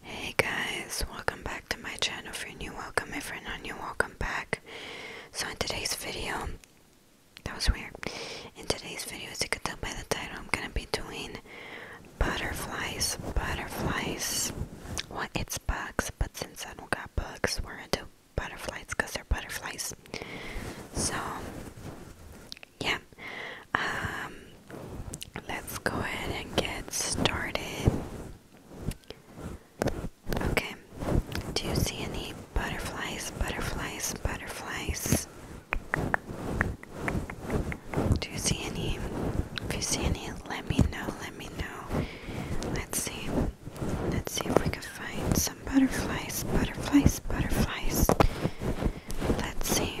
Hey guys, welcome back to my channel. For you new, welcome. If friend are not welcome back. So in today's video, that was weird. In today's video, as you can tell by the title, I'm gonna be doing butterflies. Butterflies. Well, it's bugs, but since I don't got bugs, we're into to butterflies because they're butterflies. So yeah, um, let's go ahead and get started. Okay, do you see any butterflies? Butterflies, butterflies. Do you see any? If you see any, let me know. Let me know. Let's see. Let's see if we can find some butterflies. Butterflies, butterflies. Let's see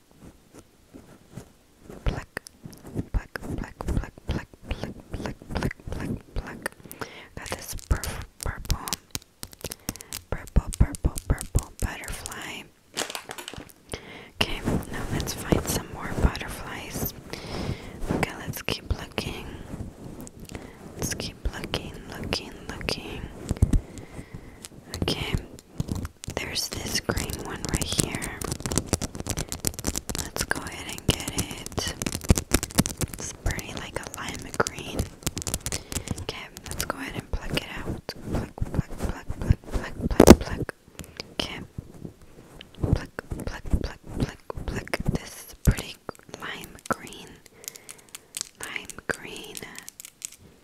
pluck, pluck, pluck, pluck, pluck, pluck, pluck, pluck, pluck, pluck, pluck. Got this purple, purple, purple, purple, purple butterfly. Okay, now let's find some more butterflies. Okay, let's keep looking. Let's keep looking, looking, looking. Okay, there's this green one right here. Let's go ahead and get it. It's pretty like lime green. Okay, let's go ahead and pluck it out. Pluck, pluck, pluck, pluck, pluck, pluck, pluck. Okay. Pluck, pluck, pluck, pluck, pluck. This pretty lime green. Lime green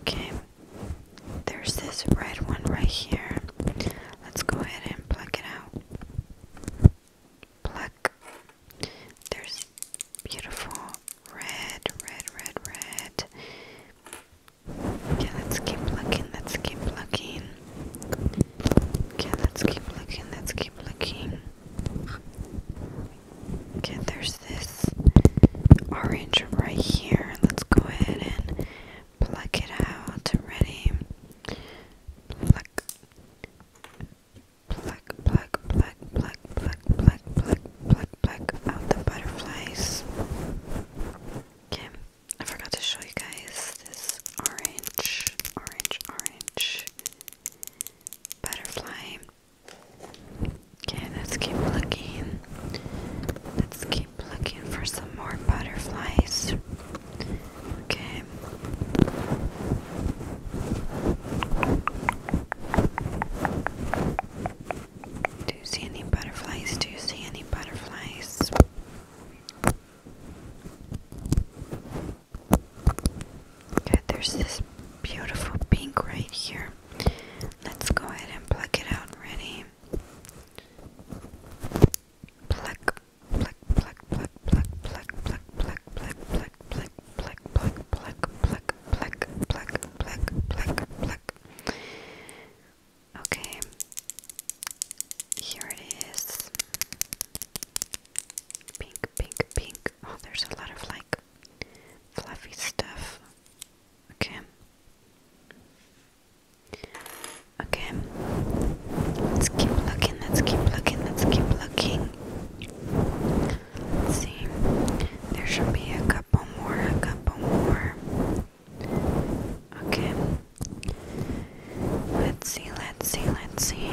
okay. There's this red one right here. Let's go ahead and pluck it out. Pluck. There's beautiful red, red, red, red. Okay, let's keep looking, let's keep looking. Okay, let's keep looking, let's keep looking. Okay, there's this orange right here. Let's go ahead and pluck it out. Ready? Pluck. Pluck, pluck, pluck, pluck, pluck, pluck, pluck, pluck, out the butterflies. Okay, I forgot to show you guys this orange, orange, orange butterfly. Okay, let's keep looking. Let's keep looking for some more butterflies. Okay. Do you see any butterflies? Do you see any butterflies? Okay, there's this beautiful pink right here. Let's go ahead and pluck it out. Ready? Pluck, pluck, pluck, pluck, pluck, pluck, pluck, pluck, pluck, pluck, pluck, pluck, pluck, pluck, pluck, pluck, pluck, pluck, Okay. Here it is. Pink, pink, pink. Oh, there's a lot of like fluffy stuff. Okay. Okay. Let's keep looking, let's keep looking, let's keep looking. see. There should be a couple more, a couple more. Okay. Let's see, let's see, let's see.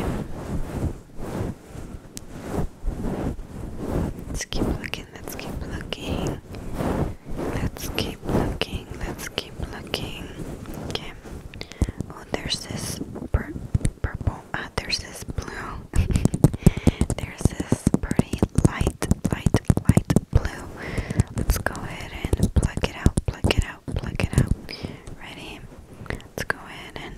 Let's keep looking, let's keep looking. Let's keep looking, let's keep looking. Oh, there's this purple. Ah, there's this blue. there's this pretty light, light, light blue. Let's go ahead and pluck it out, pluck it out, pluck it out. Ready? Let's go ahead and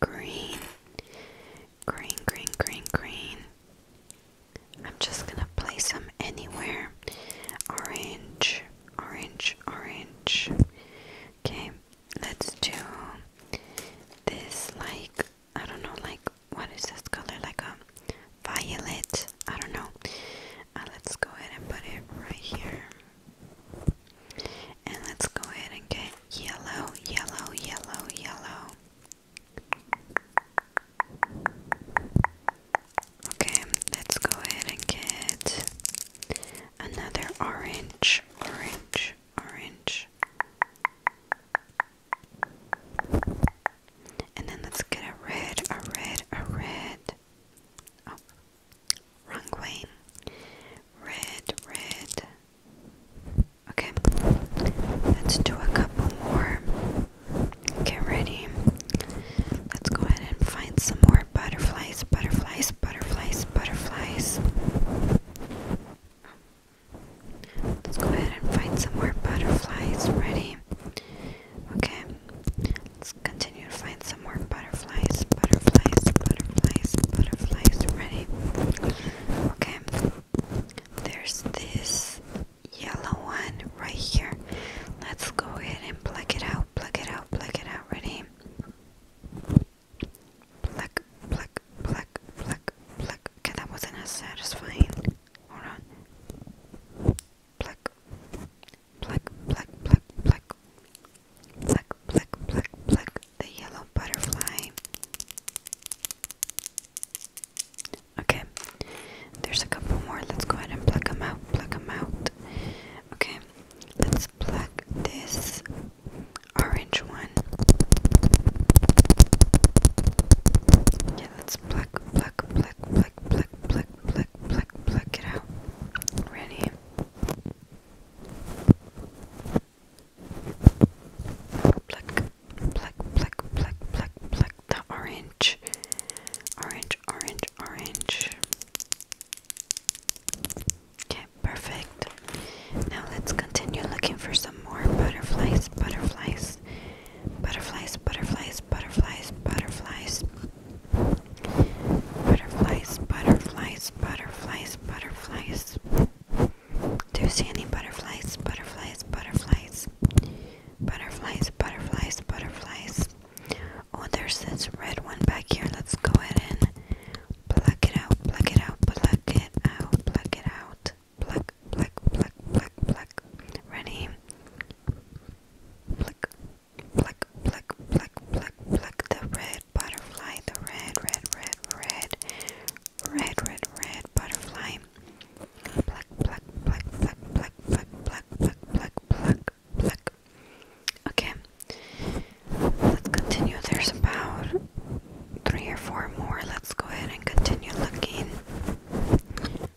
green. Green, green, green, green. I'm just gonna place them anywhere. Orange, orange, orange. Okay, let's do this like I don't know, like what is this color? Like a violet. I don't know. Uh, let's go ahead and put it right here. And let's go ahead and get yellow, yellow, yellow, yellow. Okay, let's go ahead and get another orange, orange, orange. And then let's get a red, a red, a red. Oh, Wrong way. Red, red. Okay, let's do a couple more. Get ready. Let's go ahead and find some more butterflies, butterflies, butterflies, butterflies. Let's go ahead and find some more butterflies. Ready? Okay. Let's continue to find some more butterflies, butterflies, butterflies, butterflies. Ready? Okay. There's this yellow one right here. Let's go ahead and pluck it out, pluck it out, pluck it out. Ready? Pluck, pluck, pluck, pluck, pluck. Okay, that wasn't as satisfying. Hold on. Pluck black, black, black, black, black, black, black, black, the yellow butterfly. Okay, there's a couple more. Let's go ahead and pluck them out, pluck them out. Okay, let's pluck this orange one. Yeah, let's pluck, pluck, pluck, pluck, pluck, pluck, pluck, pluck, pluck it out. Ready? Black, black, black, black, black, black, the orange, orange, orange, orange. Okay, perfect. Now let's continue looking for some more butterflies, butterflies, butterflies, butterflies, butterflies, butterflies. Butterflies, butterflies, butterflies, butterflies. Do you see any butterflies? Butterflies, butterflies. Butterflies, butterflies, butterflies. Oh, there's this red one back here. Let's go ahead and pluck it out, pluck it out, pluck it out, pluck it out. Pluck, pluck, pluck, pluck, pluck. Ready? Pluck, Flick, flick, flick, flick, flick the red butterfly, the red, red, red, red, red, red, red butterfly. Pluck, pluck, pluck, pluck, pluck, pluck, pluck, pluck, pluck, pluck, Okay, let's continue. There's about three or four more. Let's go ahead and continue looking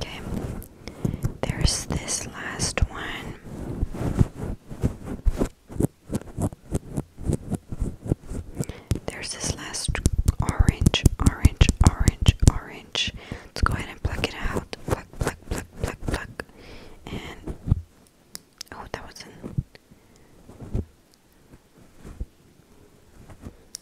Okay. There's this last one. There's this last orange, orange, orange, orange. Let's go ahead and pluck it out. Pluck, pluck, pluck, pluck, pluck. And oh, that wasn't.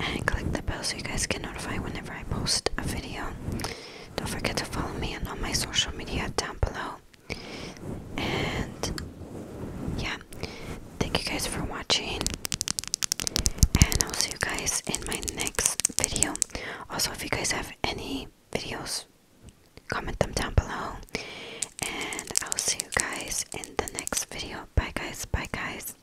and click the bell so you guys can notify whenever I post a video. Don't forget to follow me on all my social media down below. And yeah, thank you guys for watching. And I'll see you guys in my next video. Also, if you guys have any videos, comment them down below. And I'll see you guys in the next video. Bye, guys. Bye, guys.